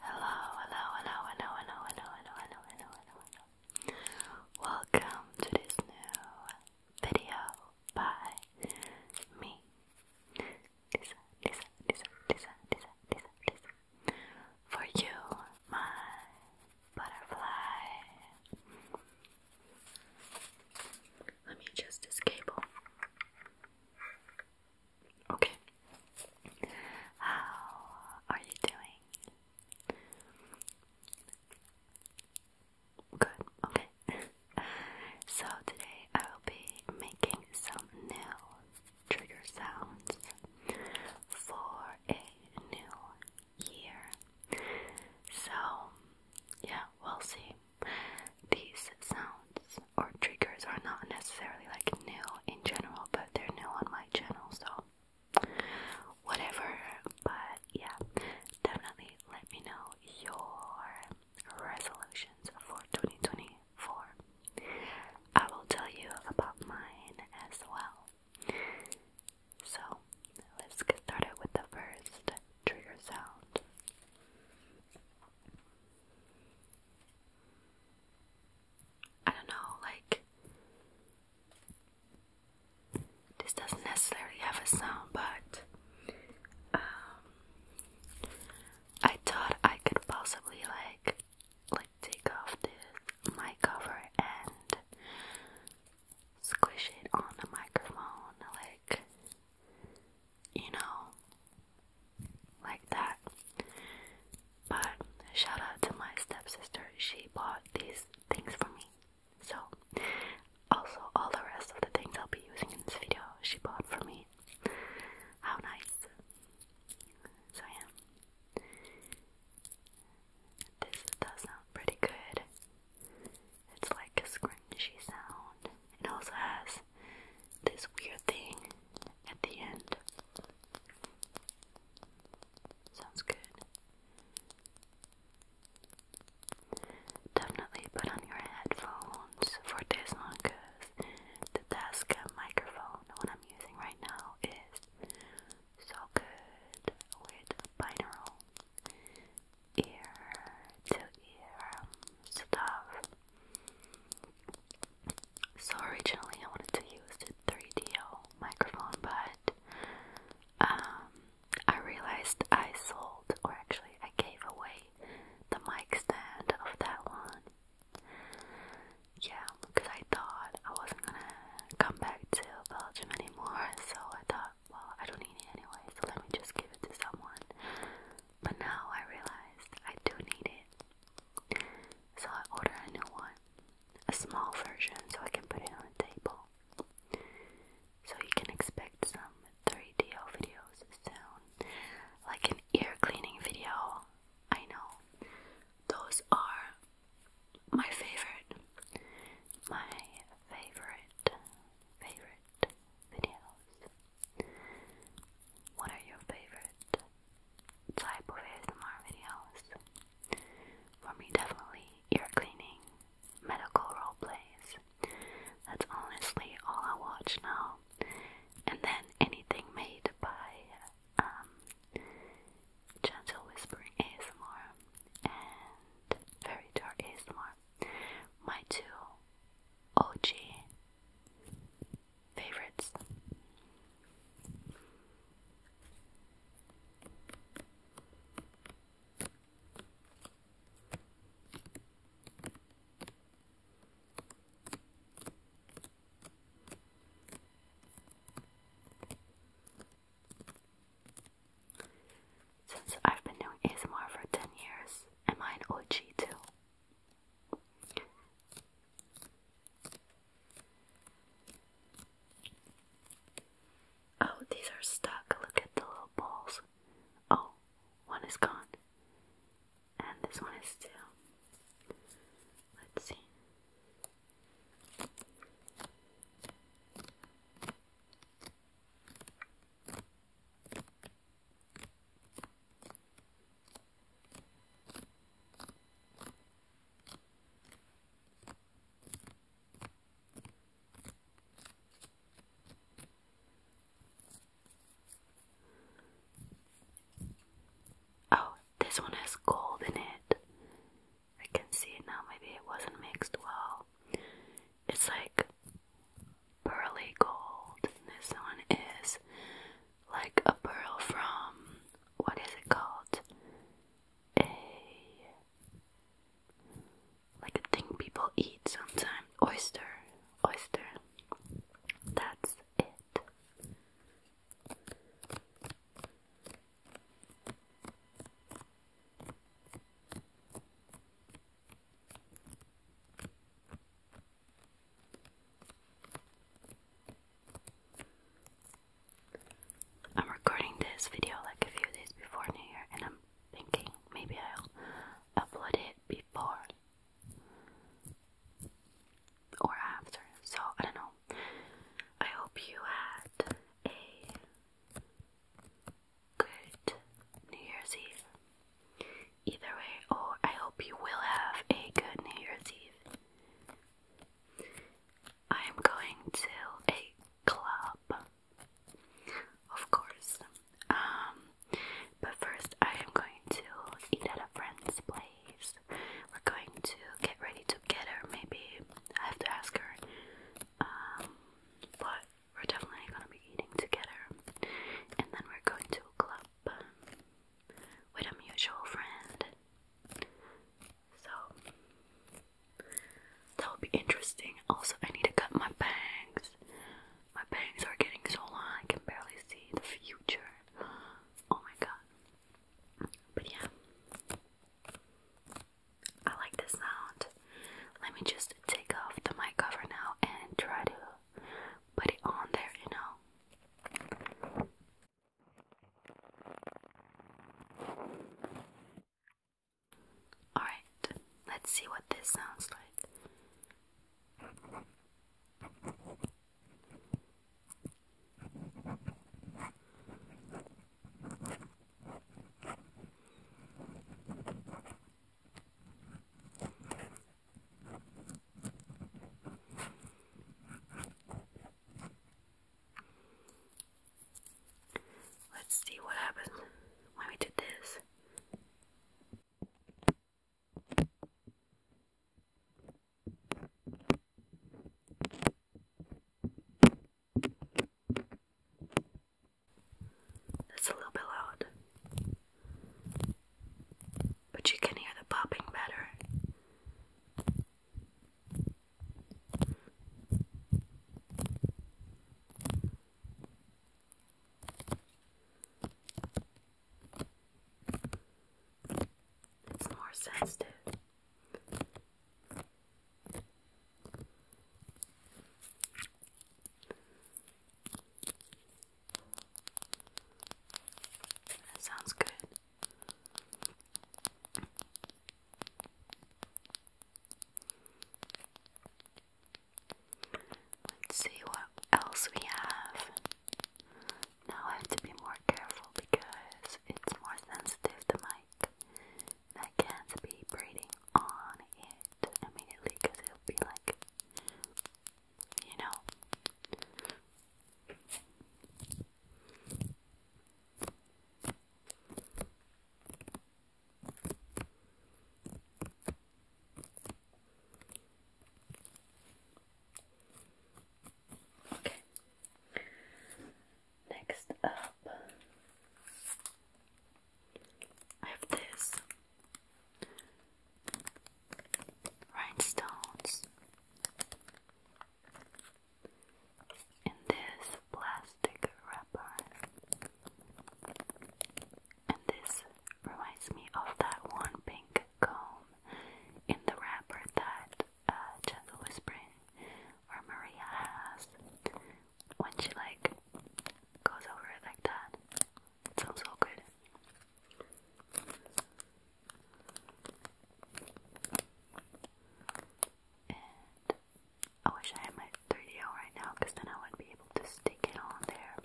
Hello, hello, hello, hello, hello, hello, hello, hello, hello, hello, hello. Welcome to this new video by me. Lisa, Lisa, Lisa, Lisa, Lisa, Lisa, Lisa. For you, my butterfly. Let me adjust this Okay. How are you doing? Good, okay. so today I will be making some new trigger sounds for a new year. So, yeah, we'll see. These sounds or triggers are not necessarily like new in general, but they're new on my channel, so whatever. But yeah, definitely let me know your resolutions for 2024. I will tell you about mine as well. So let's get started with the first trigger sound. I don't know, like this doesn't necessarily have a sound, but um, I thought I could possibly like like take off this mic cover and squish it on the microphone, like you know, like that. But shout out to my stepsister, she bought these things for me. So, also, all the rest of the things I'll be using in this video, she bought for me. How nice! So, yeah, this does sound pretty good. It's like a scrunchy sound. It also has this weird thing at the end. Sounds good. Definitely put on your headphones for this one because the Tascam microphone, the one I'm using right now, is so good with binaural ear to ear um, stuff. So originally I wanted to use the 3DO microphone, but um, I realized I sold, or actually I gave away the mic stand of that one. Yeah, because I thought I wasn't gonna come back to Belgium anymore, so I thought well, I don't need it anyway, so let me just give it to someone. But now I realized I do need it. So I order a new one, a small version, so I can put it on the table. So you can expect some 3D videos soon, like an ear cleaning video. I know those are my favorite, my favorite, favorite videos. What are your favorite type of ASMR videos? For me, definitely ear cleaning, medical role plays. That's honestly all I watch now. And then anything made by um, Gentle Whispering ASMR and very Dark ASMR my two OG favorites. Since I've been doing ASMR for 10 years, am I an OG too? Oh, these are stuck. Look at the little balls. Oh, one is gone. And this one is too. Let's see. Oh, this one has gold in it. I can see it now, maybe it wasn't mixed well it's like pearly gold, this one is like a pearl from what is it called? A like a thing people eat sometimes. Oyster. Oyster. That's it. I'm recording this video like a few days before New Year, and I'm thinking maybe I'll upload it before or after. So I don't know. I hope you had a good New Year's Eve. Either way, or I hope you will have a good New Year's Eve. I am going to a club, of course. Um, but first, I am going to eat at a friend's place. We're going to get ready together. Maybe I have to ask her. Um, but we're definitely gonna be eating together, and then we're going to a club um, with a mutual friend. So that'll be interesting. Also, I need to cut my bangs. My bangs are getting so long I can barely see the future. Oh my god. But yeah. I like the sound. Let me just take off the mic cover now and try to put it on there, you know. Alright, let's see what this sounds like. Let's see what happens when we did this. That's a little bit loud, but you can hear the popping better. It's more sensitive. That sounds good. Let's see what else we have. Now I have to be more careful because it's more sensitive, the mic. I can't be breathing on it immediately because it'll be like, you know. Okay. Next up, I have this rhinestones in this plastic wrapper, and this reminds me of that one pink comb in the wrapper that uh, Gentle Whispering or Maria has when she like goes over it like that. It sounds so good. And I wish I had my 3DO right now because then I would be able to stick it on there.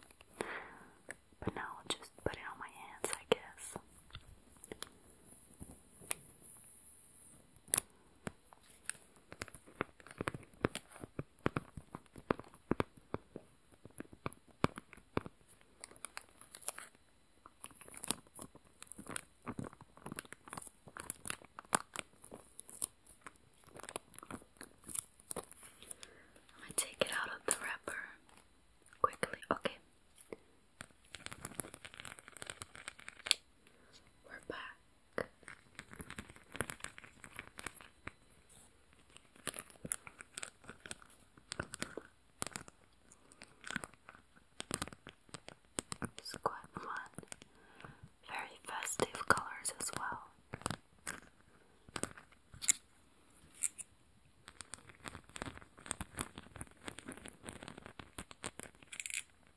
But now I'll just put it on my hands, I guess. I'm take it out of the wrapper quickly. Okay. We're back. It's quite Very festive colors as well.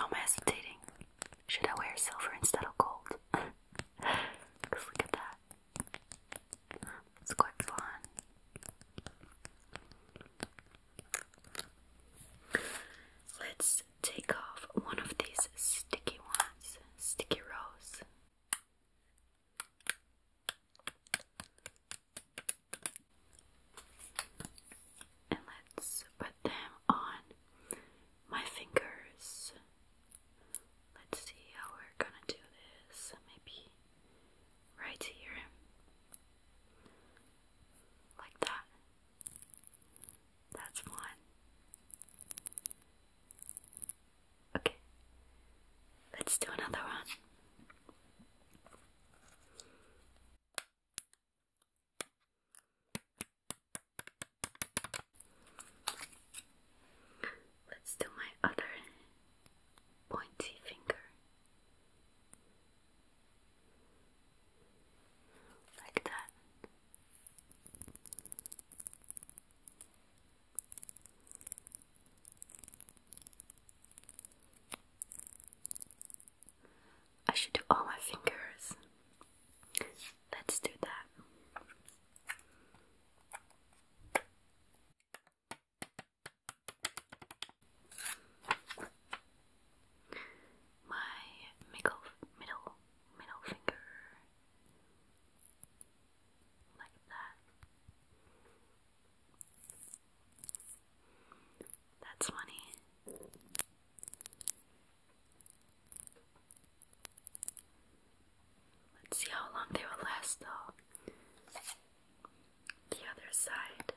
I'm hesitating. Should I wear silver instead of gold? look at that. It's quite fun. Let's take off one of these sticky ones, sticky rose. And let's put them on my fingers. Let's see how we're gonna do this. Maybe right here. Like that. That's one. Okay, let's do another one. Let's do my other pointy finger like that. I should do all my fingers. Let's do that. My middle, middle, middle finger like that. That's funny. Let's see how long they will last, though. The other side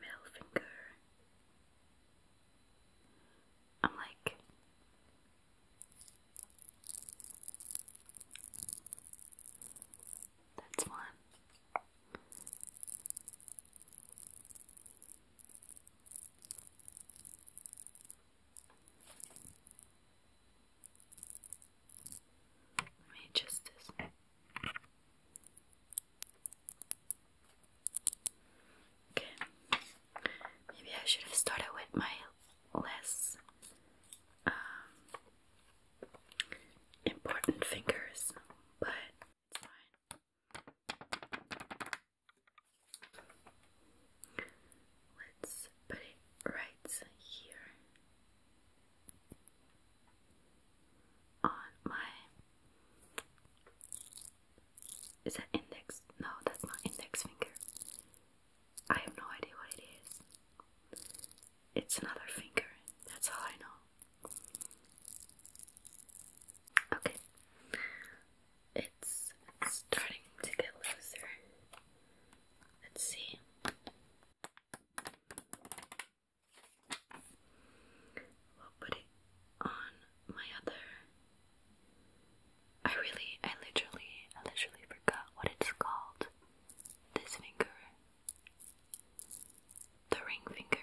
middle finger. I'm like, that's one. Let me adjust this. Okay. Maybe I should have started with my less um, important fingers, but it's fine. Let's put it right here on my is that index? No, that's not index finger. I have no idea what it is. It's another finger. That's all I know. Okay. It's starting to get looser. Let's see we put it on my other. I really, I literally, I literally forgot what it's called. This finger. The ring finger.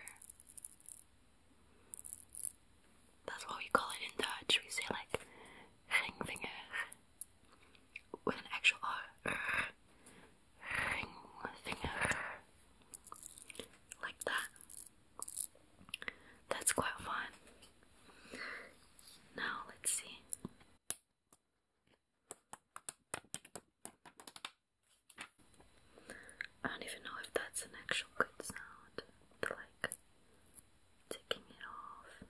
That's what we call it in Dutch. We say like ringvinger with an actual R like that. That's quite fun. Now let's see. I don't even know if that's an actual good sound. like taking it off.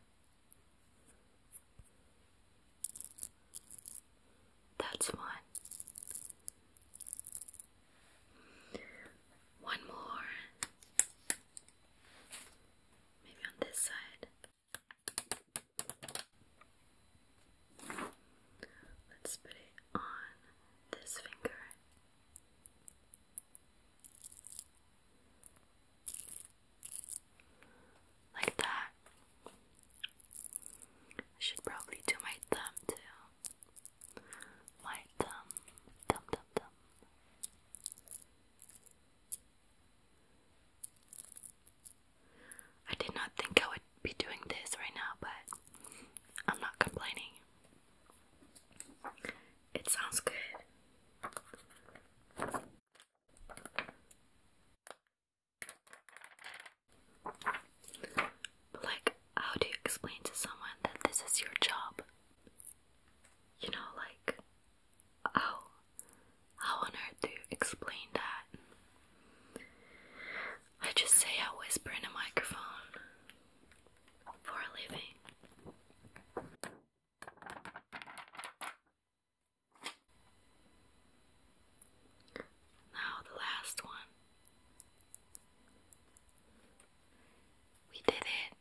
That's one. One more. Maybe on this side. Let's put it on this finger. Like that. I should probably do my thumb too. My thumb, thumb, thumb, thumb. I did not think I would be doing this right now, but I'm not complaining. It sounds good. Like, how do you explain to someone that this is your job? You know, like, how, how on earth do you explain that? I just say I whisper in a microphone for a living. Now, the last one. We did it.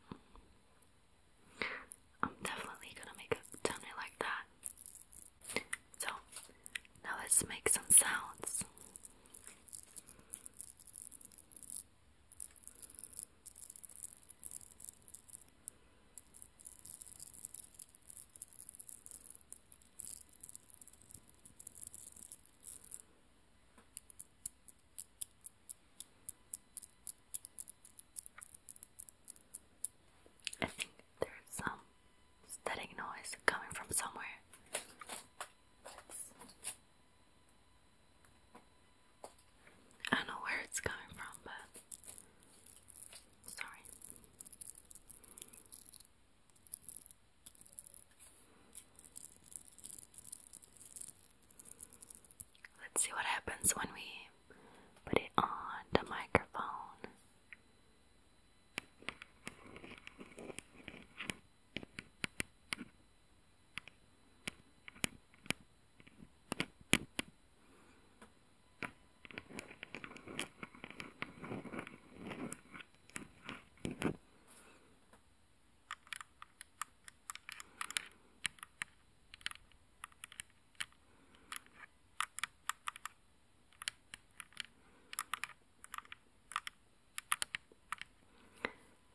I'm definitely gonna make a thumbnail like that. So, now let's make some sounds. I think there's some static noise coming from somewhere. I know where it's coming from, but sorry. Let's see what happens when we put it on the microphone.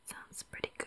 Sounds pretty good.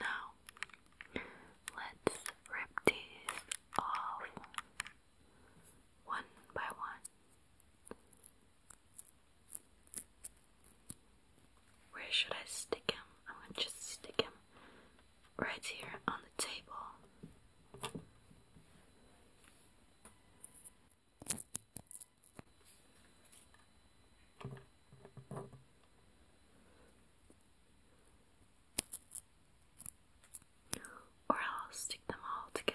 Now let's rip these off one by one. Where should I stick him? I'm to just stick him right here on the table. Or I'll stick them all together.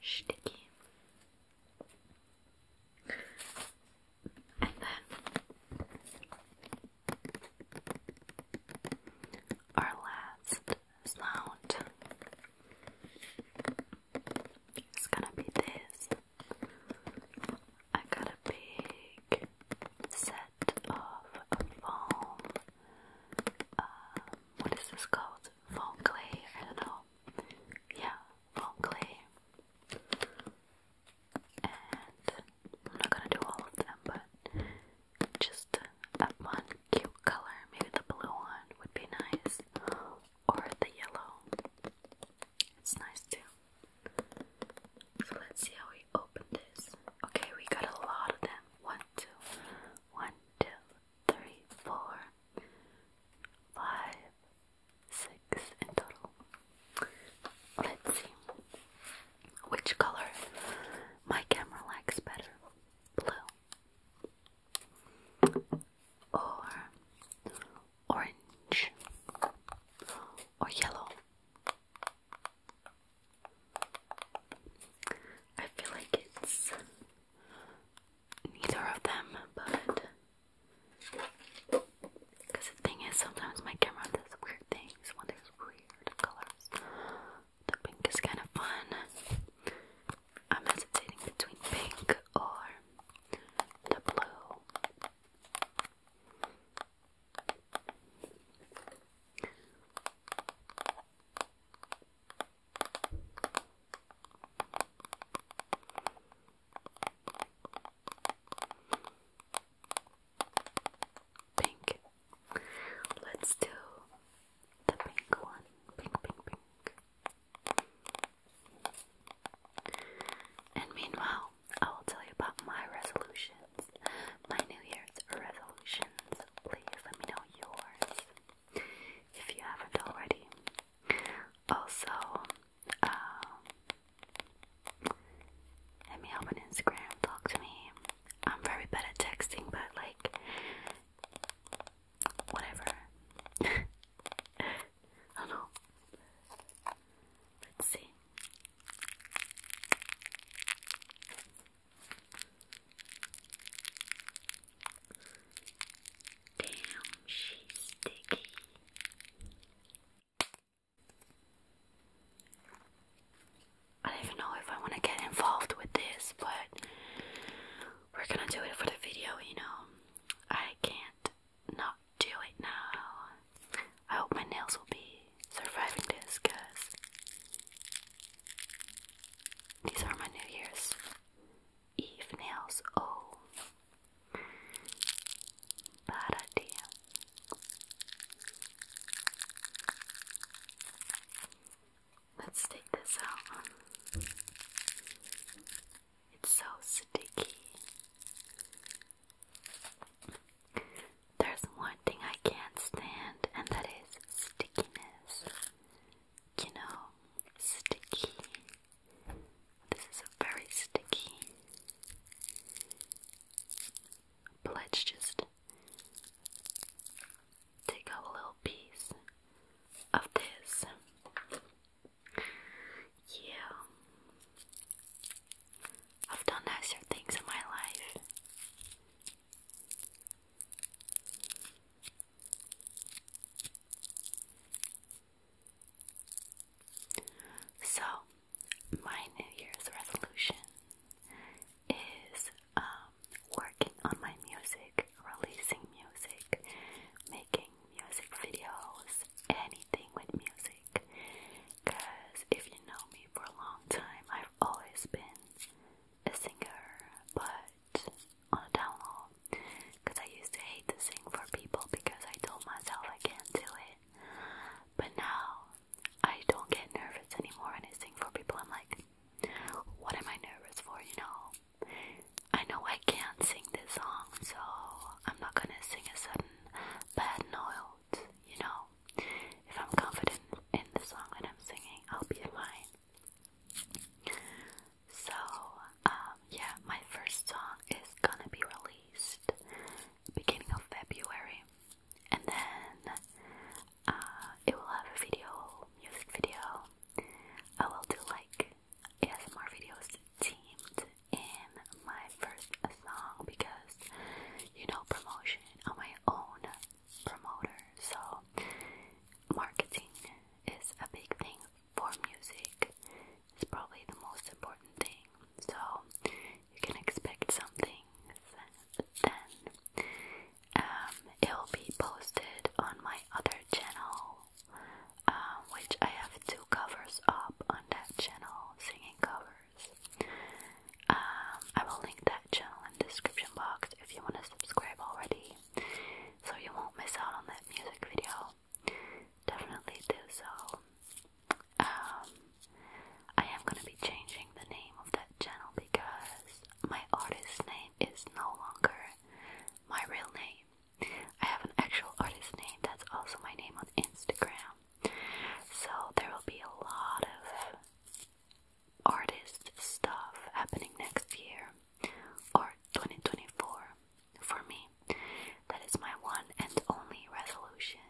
Sticky. And then our last sound is gonna be this. I got a big set of foam. Um, what is this called? Foam clay? I know. Yeah, foam clay and I'm not gonna do all of them, but just that one cute color. Maybe the blue one would be nice, or the yellow. It's nice too. So let's see how we open this. Okay, we got a lot of them. One, two, one, two, three, four, five, six in total. Let's see which color my camera likes better blue or orange or yellow. I feel like it's neither of them, but because the thing is, sometimes my camera does weird things when there's weird colors. The pink is kind of fun. I'm hesitating between pink or the blue. Pink. Let's do the pink one. Pink, pink, pink. And meanwhile, I will tell you about my resolutions. My New Year's resolutions. Please let me know yours if you haven't already. Also, um, hit me up on Instagram, talk to me. I'm very bad at texting, but like, whatever. I don't know. Let's see. Damn, she's sticky. I don't even know if I want to get involved with this, but we're gonna do it for the video, you know. I can't not do it now. I hope my nails will be surviving this because these are my New Year's Eve nails. Oh, para ti. Let's take this out. It's so sticky. There's one thing I can't stand, and that is stickiness. You know, sticky. This is a very sticky. But just take a little piece of this. Yeah. I've done nicer things in my life. So, my New Year's resolution is um, working on my music, releasing music, making music videos, anything with music. Because if you know me for a long time, I've always been a singer, but on a down low. Because I used to hate to sing for people because I told myself I can't do it. But now I don't get nervous anymore when I sing for people. I'm like, what am I nervous for, you know? I know I can't sing this song, so I'm not gonna sing a sudden bad note, you know? If I'm confident in the song that I'm singing, I'll be fine. So, um, yeah, my first song is gonna be released beginning of February, and then uh, it will have a video, music video. I will do like ASMR videos teamed in my first song because you know promotion. on my own promoter, so marketing is a big thing for music is probably the most important thing. So you can expect some things. Then um, it will be posted on my other channel, uh, which I have two covers up on that channel, singing covers. Um, I will link that channel in description box if you want to subscribe already, so you won't miss out on that music video definitely do so. Um, I am gonna be changing the name of that channel because my artist name is no longer my real name. I have an actual artist name that's also my name on Instagram. So there will be a lot of artist stuff happening next year or 2024 for me. That is my one and only resolution.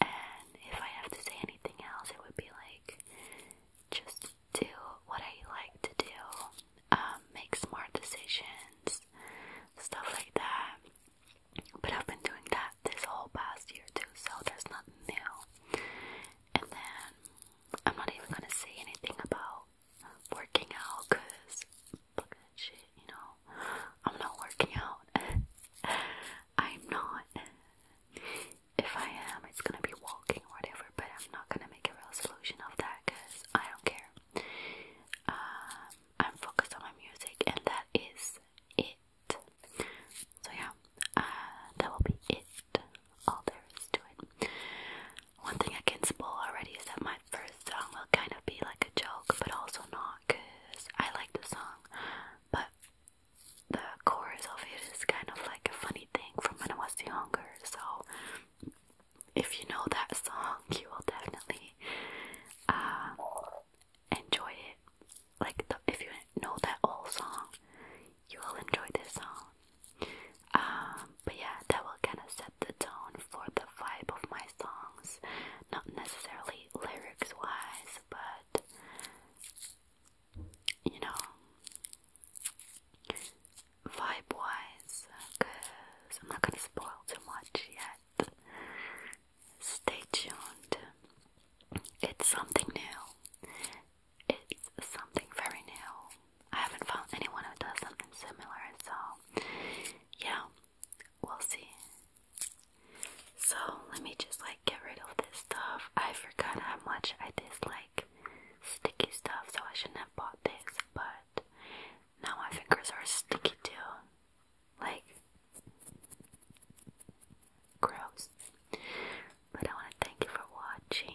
And if I have to say anything else, it would be like just do what I like to do, um, make smart decisions, stuff like that. But I've been doing that this whole past year too, so there's nothing new. And then I'm not even gonna say anything about working out because fuck that shit, you know. I'm not working out. I'm not. If I am, it's gonna be walking or whatever, but I'm not gonna make a resolution of that because I don't care. Um, I'm focused on my music, and that is it. So, yeah, uh, that will be it. All there is to it. One thing I can spoil already is that my first song will kind of be like a joke, but also not, cause I like the song, but the chorus of it is kind of like a funny thing from when I was younger. So if you know that song, you will definitely uh, enjoy it. Like if you know that old song, you will enjoy this song. Um, but yeah, that will kind of set the tone for the vibe of my songs. Not necessarily lyrics wise, but you know, vibe wise, because I'm not gonna spoil too much yet. Stay tuned. It's something new. It's something very new. I haven't found anyone who does something similar, so yeah, we'll see. So let me just like get rid of this stuff. I forgot how much I dislike sticky stuff, so I shouldn't have bought this, but now my fingers are sticky too. Like, gross. But I want to thank you for watching.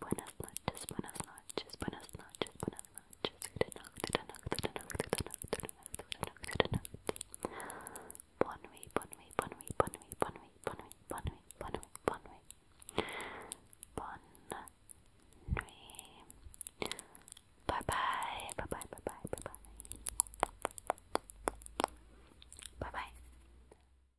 Buenas noches, buenas noches, buenas noches, buenas noches. Good night, good night, good night, good night, good night, good night, good night. Bonne nuit, bonne nuit, bonne nuit, bonne nuit, bonne nuit, bonne nuit, bonne nuit, bonne nuit, bonne nuit. Bonne nuit. Bye bye, bye bye, bye bye, bye bye. Bye bye.